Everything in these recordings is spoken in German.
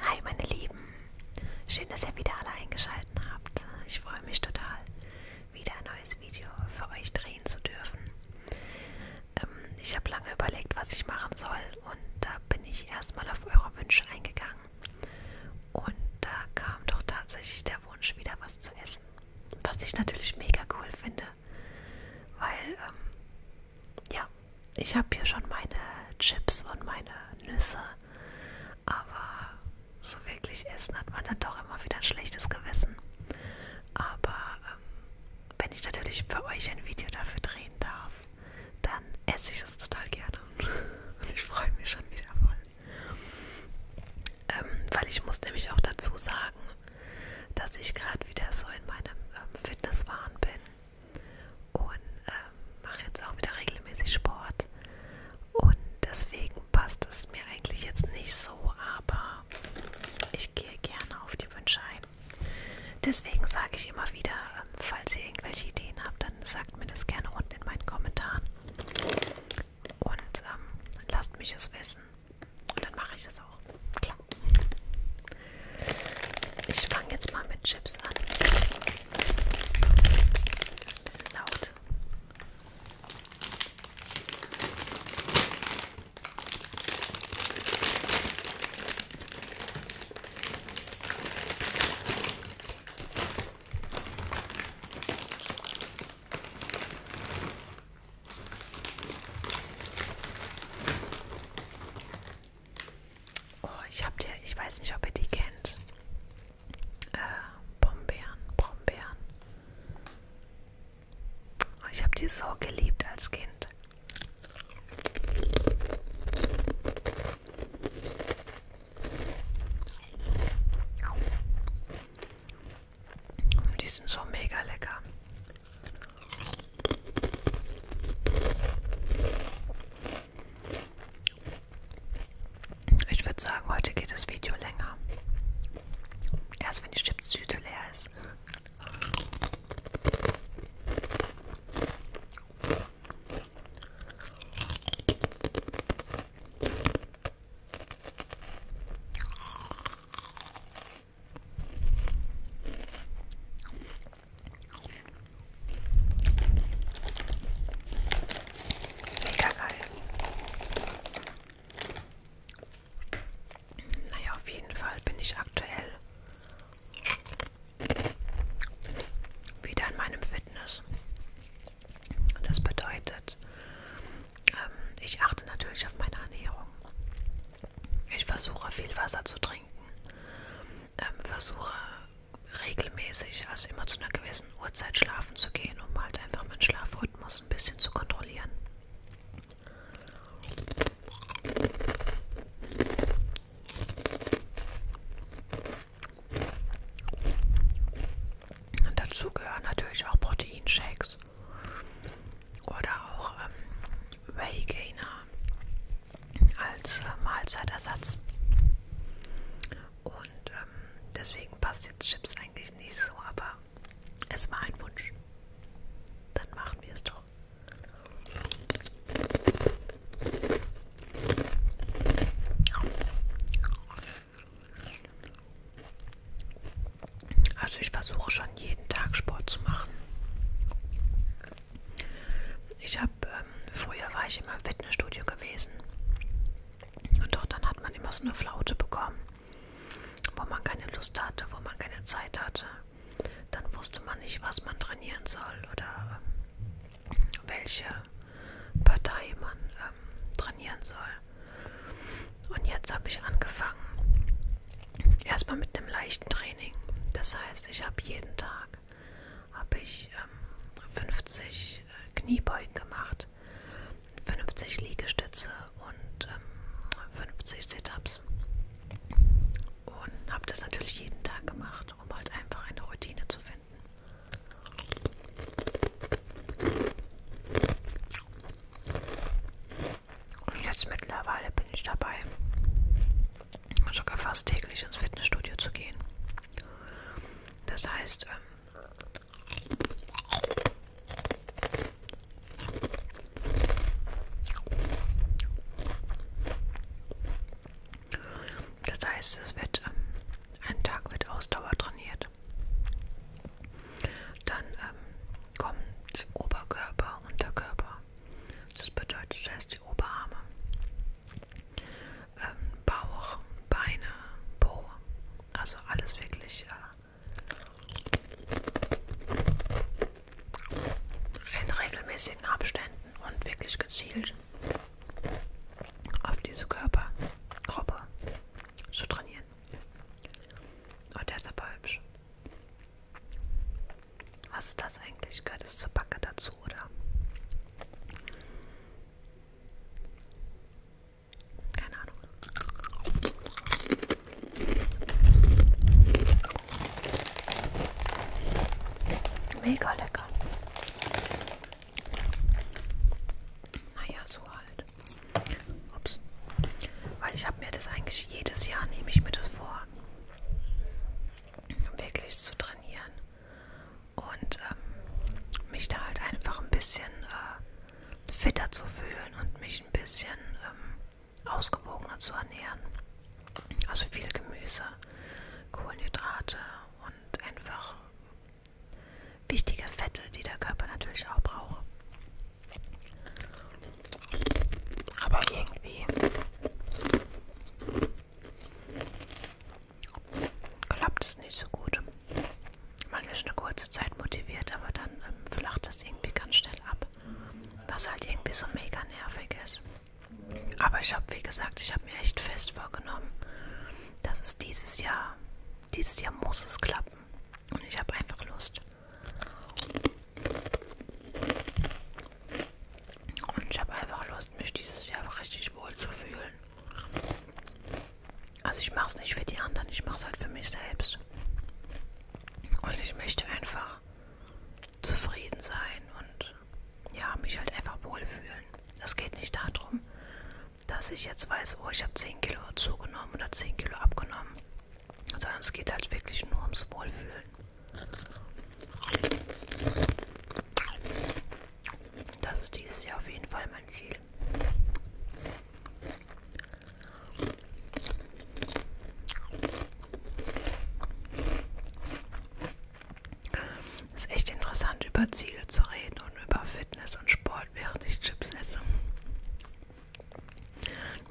Hi meine Lieben, schön, dass ihr wieder alle eingeschaltet habt. Ich freue mich total, wieder ein neues Video für euch drehen zu dürfen. Ähm, ich habe lange überlegt, was ich machen soll und da bin ich erstmal auf eure Wünsche eingegangen. Und da kam doch tatsächlich der Wunsch, wieder was zu essen ist. Was ich natürlich mega cool finde, weil, ähm, ja, ich habe hier schon meine Chips und meine Nüsse, aber so wirklich essen hat man dann doch immer wieder ein schlechtes Gewissen. Aber ähm, wenn ich natürlich für euch ein Video dafür drehen darf, dann esse ich es total gerne. Und ich freue mich schon wieder voll. Ähm, weil ich muss nämlich auch dazu sagen, dass ich gerade wieder so in meinem ähm, Fitnesswahn bin und ähm, mache jetzt auch wieder regelmäßig Sport. Und deswegen passt es mir eigentlich jetzt nicht so, aber ich gehe gerne auf die Wünsche ein. Deswegen sage ich immer wieder, ähm, falls ihr irgendwelche Ideen habt, dann sagt mir das gerne unten in meinen Kommentaren. Und ähm, lasst mich es wissen. Und dann mache ich es auch. Klar. Ich fange jetzt mal mit Chips an. Ein bisschen laut. Oh, ich habe dir, ich weiß nicht, ob ihr die kennt. Äh, Brombeeren, Brombeeren. Oh, ich habe die so geliebt als Kind. Die sind so mega lecker. Ich würde sagen, heute geht das Video länger. Erst wenn die Chipstüte leer ist. Mega geil. Naja, auf jeden Fall bin ich aktuell wieder in meinem Fitness. Das bedeutet, ähm, ich achte natürlich auf meine Ernährung. Ich versuche viel Wasser zu trinken. Ähm, versuche regelmäßig, also immer zu einer gewissen Uhrzeit schlafen zu gehen, um halt einfach meinen Schlafrhythmus ein bisschen zu kontrollieren. Und dazu gehören natürlich auch Proteinshakes oder auch ähm, Whey Gainer als äh, Mahlzeitersatz. Und ähm, deswegen passt jetzt Chips eigentlich nicht so, aber es war ein Wunsch. Dann machen wir es doch. Also ich versuche schon jeden Tag Sport zu machen. Ich habe, ähm, früher war ich immer im Fitnessstudio gewesen. Und doch dann hat man immer so eine Flaute bekommen, wo man keine Lust hatte, wo man keine Zeit hatte. Dann wusste man nicht, was man trainieren soll oder ähm, welche Partei man ähm, trainieren soll. Und jetzt habe ich angefangen. Erstmal mit einem leichten Training. Das heißt, ich habe jeden Tag habe ich ähm, 50 äh, Kniebeugen gemacht, 50 Liegestütze und ähm, 50 Sit-ups. Und habe das natürlich jeden Tag gemacht, um halt einfach eine Routine zu finden verwenden. Und jetzt mittlerweile bin ich dabei, sogar fast täglich ins Fitnessstudio zu gehen. Das heißt, ähm, das heißt, es wird ähm, ein Tag wird Ausdauer trainiert. Dann ähm, kommt Oberkörper, Unterkörper. Das bedeutet, das heißt die Oberarme, ähm, Bauch, Beine, Po. Also alles wirklich äh, in regelmäßigen Abständen und wirklich gezielt auf diese Körpergruppe zu trainieren. Und der ist aber hübsch. Was ist das eigentlich? Gehört es zur Backe dazu, oder? Keine Ahnung. Mega lecker. Naja, so halt. Ups. Weil ich habe mir das eigentlich jedes Jahr, nehme ich mir das vor, wirklich zu trainieren. Und ähm, mich da halt einfach ein bisschen äh, fitter zu fühlen und mich ein bisschen ähm, ausgewogener zu ernähren. Also viel Gemüse, Kohlenhydrate und einfach wichtige Fette, die der Körper natürlich auch braucht. Aber irgendwie klappt es nicht so gut. Man ist eine kurze Zeit motiviert, aber dann ähm, flacht das irgendwie ganz schnell ab. Was halt irgendwie so mega nervig ist. Aber ich habe, wie gesagt, ich habe mir echt fest vorgenommen, dass es dieses Jahr, dieses Jahr muss es klappen. Und ich habe einfach Lust. Und ich habe einfach Lust, mich dieses Jahr richtig wohl zu fühlen. Also ich mache es nicht für die anderen, ich mache es halt für mich selbst. Und ich möchte einfach zufrieden sein und ich ja, mich halt einfach wohlfühlen. Es geht nicht darum, dass ich jetzt weiß, oh, ich habe 10 Kilo zugenommen oder 10 Kilo abgenommen, sondern es geht halt wirklich nur ums Wohlfühlen. Das ist dieses Jahr auf jeden Fall mein Ziel. Es ist echt interessant, über Ziele zu reden und über Fitness und Sport, während ich Chips esse.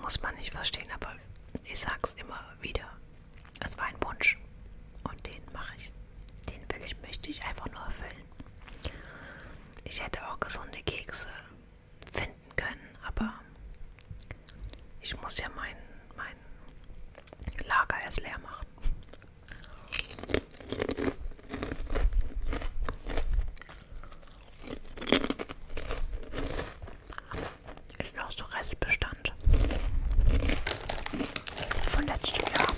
Muss man nicht verstehen, aber ich sag's immer wieder. Es war ein Wunsch und den mache ich. Den will ich, möchte ich einfach nur erfüllen. Ich hätte auch gesunde Kekse finden können, aber ich muss ja meinen mein Lager erst leer machen. Ist noch so Restbestand von letztem Jahr.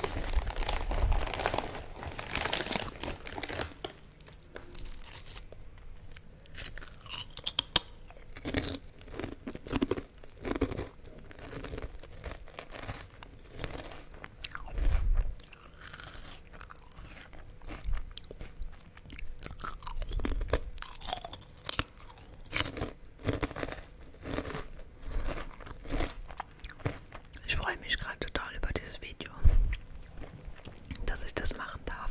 Ich freue mich gerade total über dieses Video, dass ich das machen darf.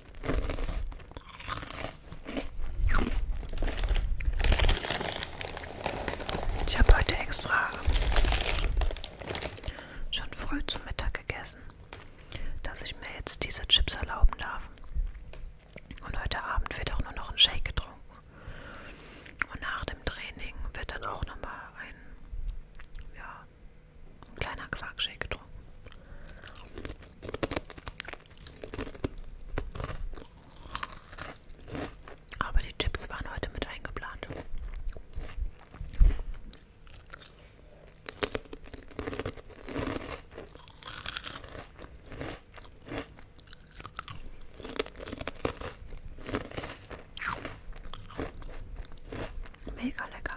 Ich habe heute extra schon früh zum Mittag gegessen, dass ich mir jetzt diese Chips erlauben darf. Und heute Abend wird auch nur noch ein Shake getrunken. Und nach dem Training wird dann auch nochmal ein, ja, ein kleiner Quarkshake getrunken. Aber die Chips waren heute mit eingeplant. Mega lecker.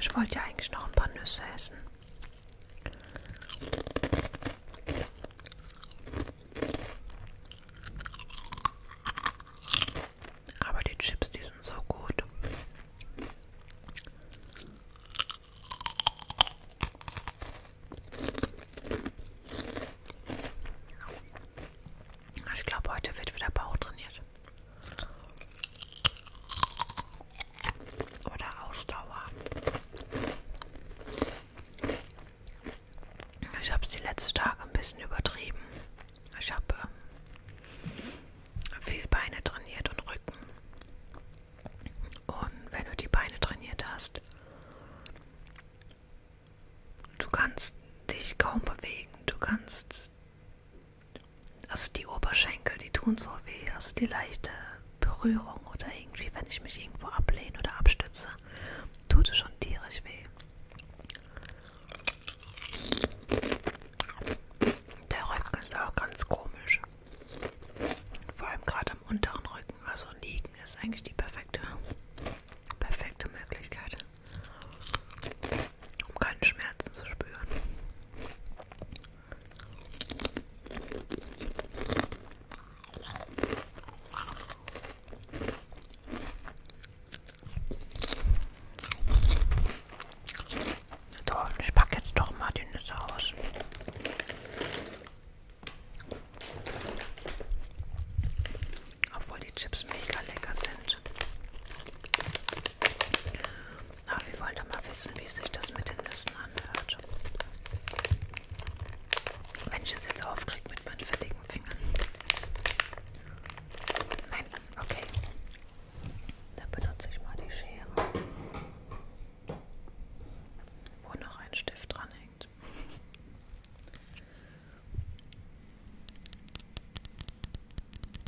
Ich wollte ja eigentlich noch ein paar Nüsse essen. Aber die Chips, die sind so gut. Ich glaube, heute wird wieder Bauch trainiert. Oder Ausdauer. Ich habe es die letzten Tage ein bisschen übertrieben. Ich habe ähm, viel Beine trainiert und Rücken. Und wenn du die Beine trainiert hast, du kannst dich kaum bewegen. Du kannst also die Oberschenkel, die tun so weh, also die leichte Berührung oder irgendwie, wenn ich mich irgendwo ablehne oder abstütze, tut es schon tierisch weh. Der Rücken ist auch ganz komisch. Vor allem gerade am unteren Rücken, also liegen ist eigentlich die perfekte, perfekte Möglichkeit, um keine Schmerzen zu spüren. So, ich packe jetzt doch mal die Nüsse aus. Obwohl die Chips mega lecker sind. Aber wir wollen doch mal wissen, wie sich das mit den Nüssen anhört. Wenn ich es jetzt aufkriege mit meinen fettigen Fingern. Nein, okay. Dann benutze ich mal die Schere, wo noch ein Stift dran hängt.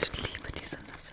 Ich liebe diese Nüsse.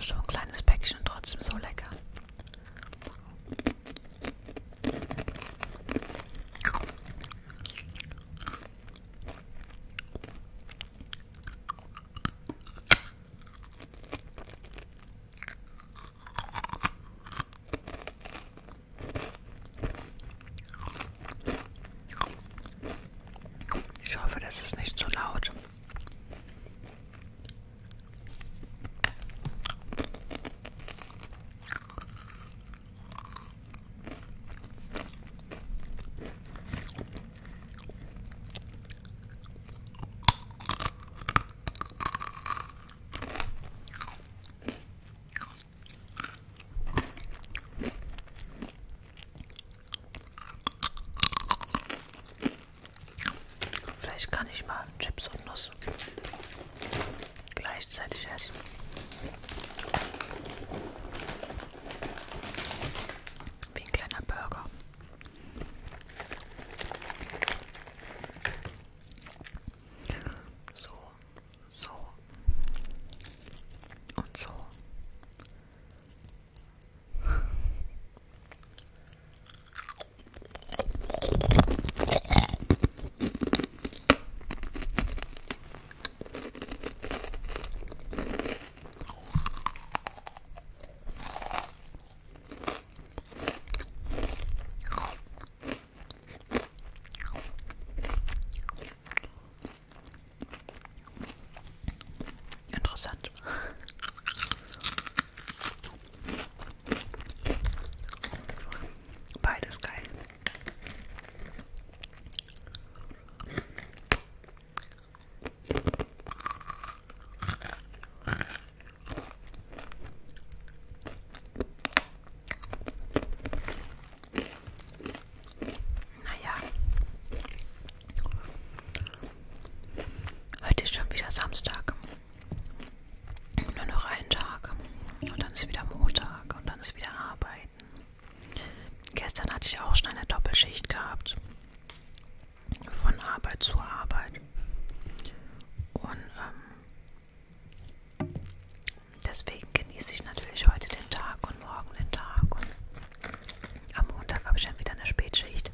Schon ein kleines Päckchen und trotzdem so lecker. Ich hoffe, das ist nicht zu so laut. Vielleicht kann ich mal Chips und Nuss gleichzeitig essen. Wie ein kleiner Burger. So, so und so. Interessant. Beides geil. Naja. Heute ist schon wieder Samstag. Nur noch ein Tag. Und dann ist wieder Montag. Und dann ist wieder Arbeit arbeiten. Gestern hatte ich auch schon eine Doppelschicht gehabt. Von Arbeit zu Arbeit. Und ähm, deswegen genieße ich natürlich heute den Tag und morgen den Tag. Und am Montag habe ich dann wieder eine Spätschicht.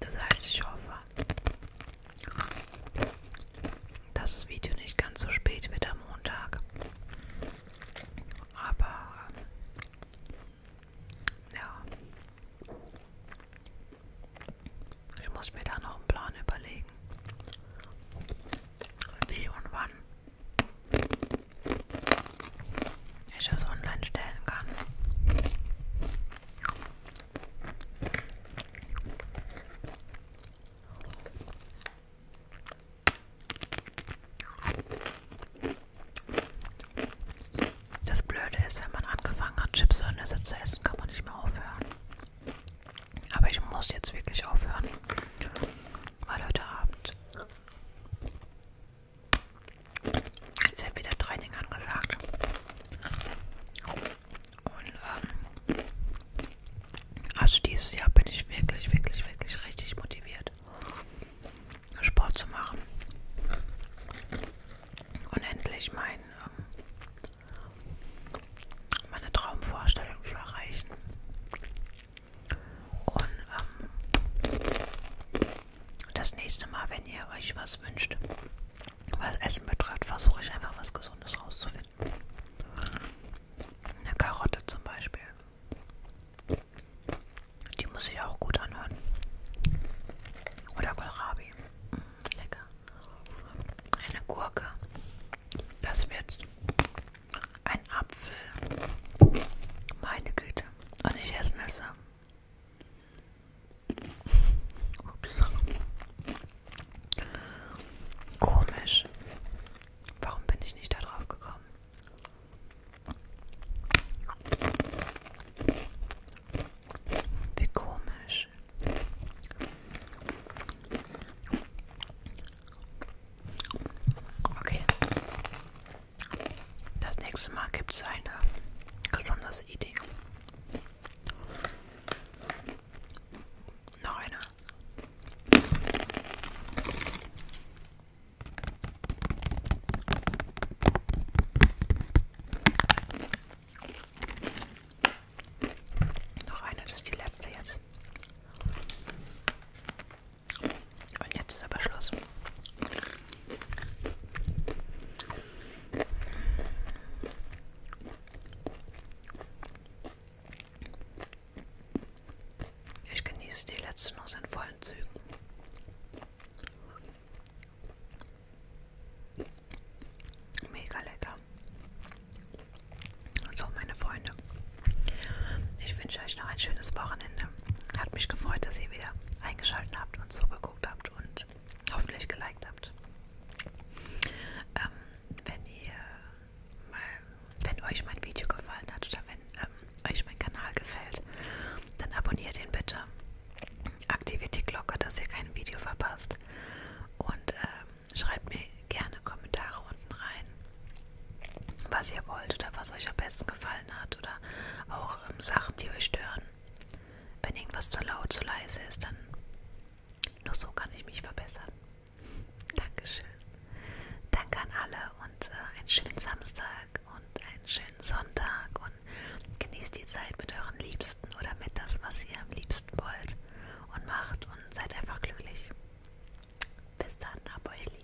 Das heißt, ich hoffe, dass das Video nicht ganz so spät wird am Montag. Aber ja, ich muss mir da noch einen Plan überlegen, wie und wann ich es online stellen kann. Das Blöde ist, wenn man angefangen hat, Chips und Nüsse zu essen, kann man nicht mehr aufhören. Aber ich muss jetzt wirklich aufhören, weil heute Abend jetzt ja wieder Training angesagt. Und ähm, also dieses Jahr bin ich wirklich, wirklich, wirklich richtig motiviert, Sport zu machen und endlich mein, ähm, meine Traumvorstellung zu erreichen. Und ähm, das nächste Mal, wenn ihr euch was wünscht, was Essen betrifft, versuche ich einfach was Gesundes rauszufinden. Eine Karotte zum Beispiel. Die muss sich auch gut anhören. Oder Kohlrabi. Mm, lecker. Eine Gurke. Das wird's. Ein Apfel. Meine Güte. Und ich esse Nüsse. Ups. Komisch. Warum bin ich nicht darauf gekommen? Wie komisch. Okay. Das nächste Mal gibt es eine besonders Idee. Noch eine noch eine, das ist die letzte jetzt. Und jetzt ist aber Schluss. Ich genieße die letzte noch in vollen Zügen. Mega lecker. Und so, also, meine Freunde. Ich wünsche euch noch ein schönes Wochenende. Hat mich gefreut, dass ihr wieder eingeschaltet habt und zugeguckt habt und hoffentlich geliked habt. Ähm, wenn ihr mal, wenn euch mein Video gefallen hat oder wenn ähm, euch mein Kanal gefällt, dann abonniert ihn bitte. Aktiviert die Glocke, dass ihr kein Video verpasst. Und ähm, schreibt mir gerne Kommentare unten rein, was ihr wollt oder was euch am besten gefallen hat oder auch ähm, Sachen, die euch stören. Wenn irgendwas zu laut, zu leise ist, dann nur so kann ich mich verbessern. Dankeschön. Danke an alle und äh, einen schönen Samstag und einen schönen Sonntag und genießt die Zeit mit euren Liebsten oder mit das, was ihr am liebsten wollt und macht und seid einfach glücklich. Bis dann, hab euch lieb.